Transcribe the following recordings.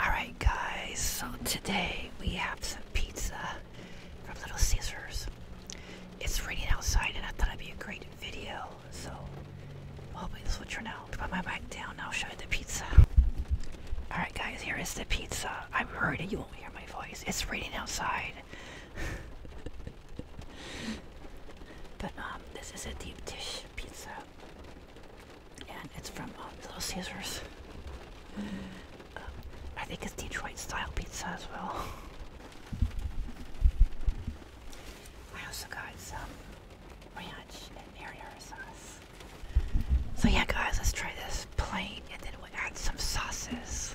Alright, guys, so today we have some pizza from Little Caesars. It's raining outside, and I thought it'd be a great video, so hopefully this will turn out. Put my mic down, I'll show you the pizza. Alright, guys, here is the pizza. I'm hurting. you won't hear my voice. It's raining outside. but, um, this is a deep dish pizza and it's from uh, Little Caesars. Uh, I think it's Detroit style pizza as well. I also got some ranch and marinara sauce. So yeah, guys, let's try this plain, and then we'll add some sauces.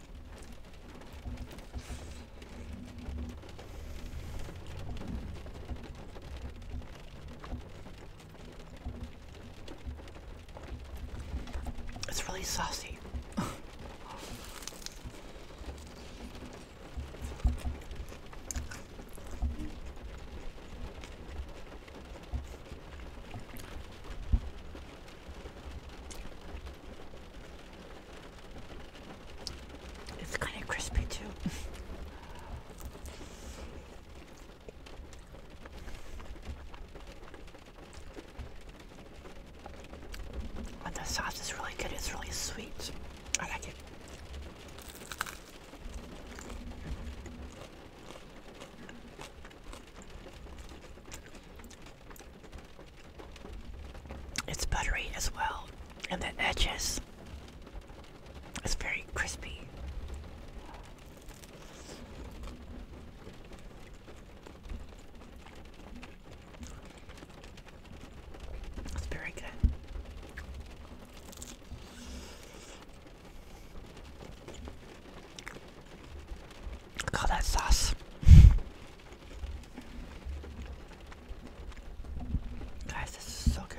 It's really saucy. It's kind of crispy too. and the sauce is really good. It's really sweet. I like it. It's buttery as well, and the edges is very crispy. It's very good. I call that sauce. Guys, this is so good.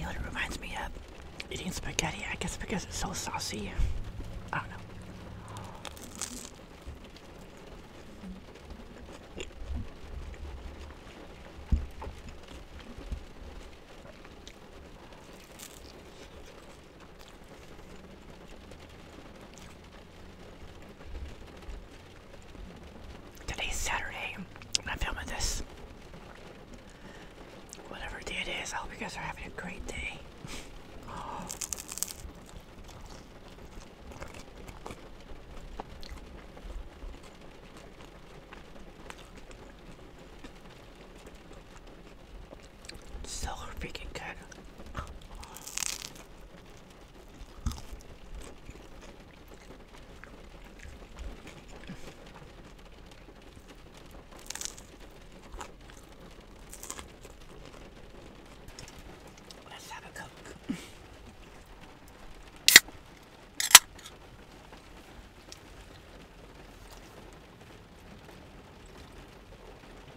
it reminds me of eating spaghetti. I guess because it's so saucy. I don't know. Today's Saturday, and I'm filming this. Whatever day it is, I hope you guys are having a great day. It's so freaking good. Let's have a coke.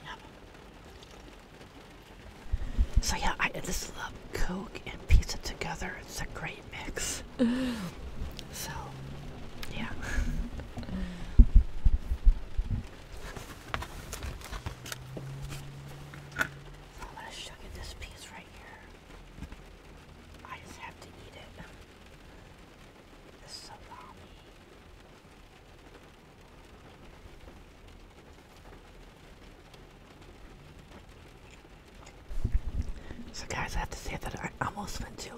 Yep. So yeah, I just love Coke and pizza together. It's a great mix. so, yeah. So I'm gonna sugar this piece right here. I just have to eat it. The salami. So guys, I have to say that I almost went to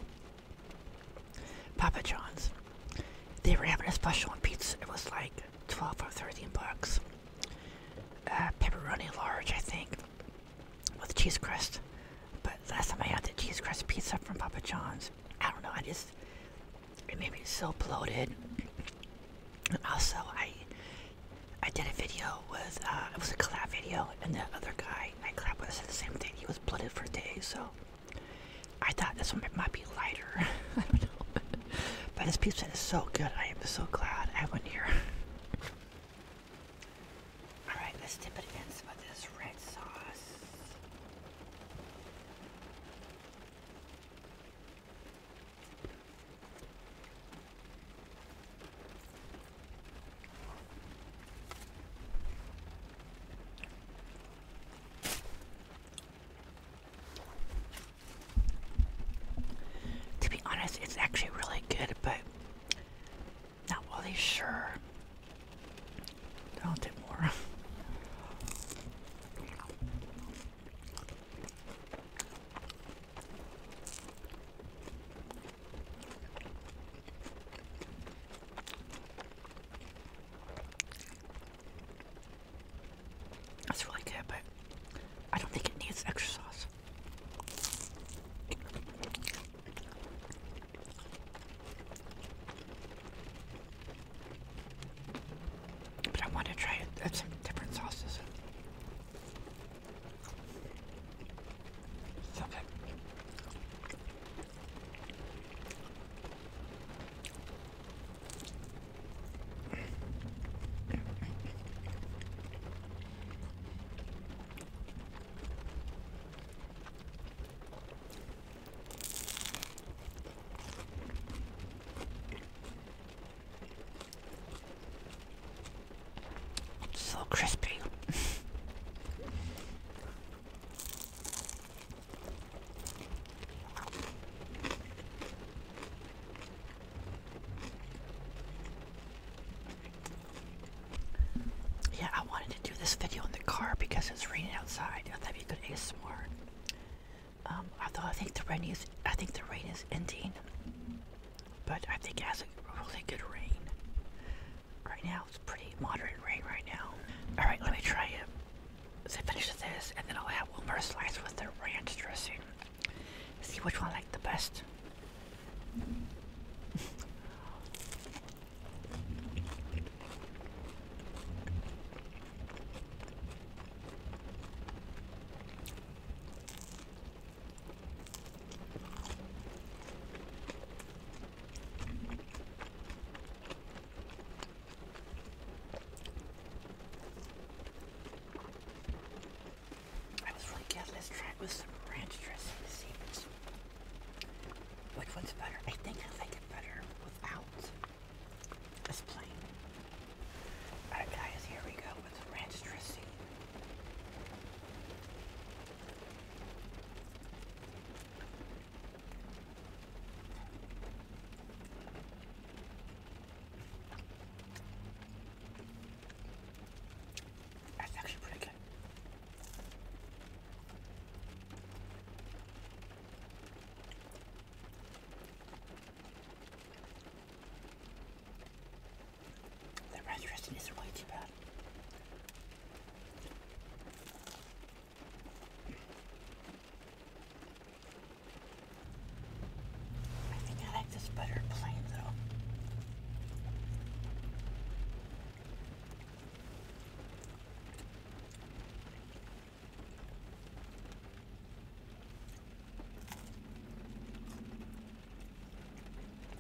Papa John's. They were having a special on pizza. It was like 12 or 13 bucks. Uh, pepperoni large, I think, with cheese crust. But last time I had the cheese crust pizza from Papa John's, I don't know, I just, it made me so bloated. also, I I did a video with, uh, it was a collab video, and the other guy I collabed with said the same thing. He was bloated for days, so I thought this one might be lighter. I don't know. but this pizza is so good. I am so glad I went here. Alright, let's dip it in some of this red sauce. To be honest, it's actually really good, but not really sure. I'll do more. That's really good, but I don't think it needs extra sauce. But I want to try different sauces. So good. So crispy. Yeah, I wanted to do this video in the car because it's raining outside. I thought it could be good ASMR. Um, although I think the rain is, I think the rain is ending, but I think it has a really good rain. Right now, it's pretty moderate rain right now. All right, let me try it. So I finish this, and then I'll have one more slice with the ranch dressing. See which one I like the best. I was really good. Let's try with some ranch dressing to see which, one's better. I think I like it better without this plain. Alright guys, here we go with ranch dressing. That's actually pretty good. The restaurant is way too bad. I think I like this better plain though.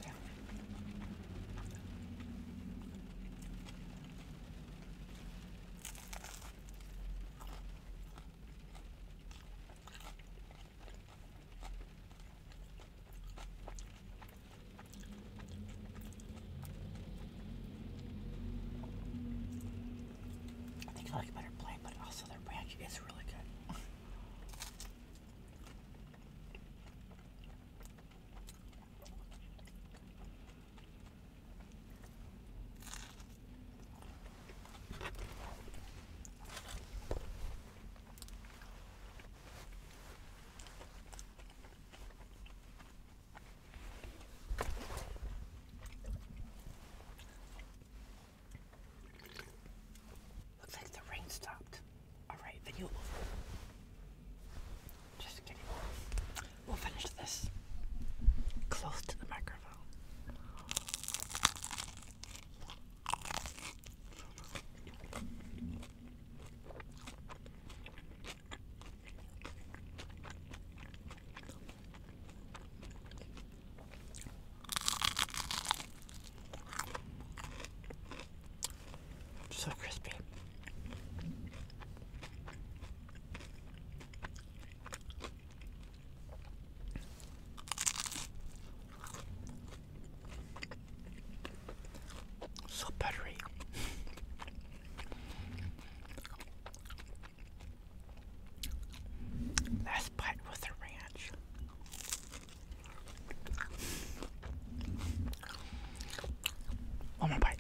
Yeah. I think I like better plain, but also their ranch is really good. Looks like the rain stopped. All right, video Just kidding. We'll finish this close to the microphone. So crispy. So buttery. Last bite with the ranch. One more bite.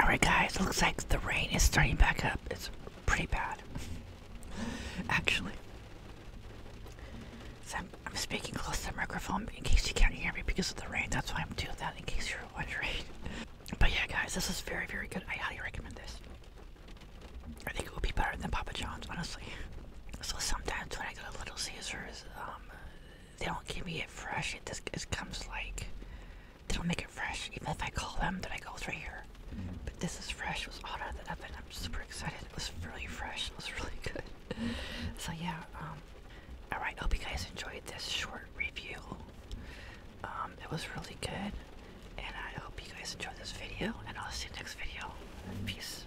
Alright, guys, looks like the rain is starting back up. It's pretty bad. Actually, I'm, speaking close to the microphone in case you can't hear me because of the rain. That's why I'm doing that, in case you're wondering. But yeah, guys, this is very, very good. I highly recommend this. I think it would be better than Papa John's, honestly. So sometimes when I go to Little Caesars, um, they don't give me it fresh. It just comes like they don't make it fresh. Even if I call them, then I go through here. Mm-hmm. But this is fresh. It was out of the oven. I'm super excited. It was really fresh. It was really good. So yeah. Um, all right. Hope you guys enjoyed this short review. Um, it was really good, and I hope you guys enjoyed this video. And I'll see you next video. Peace.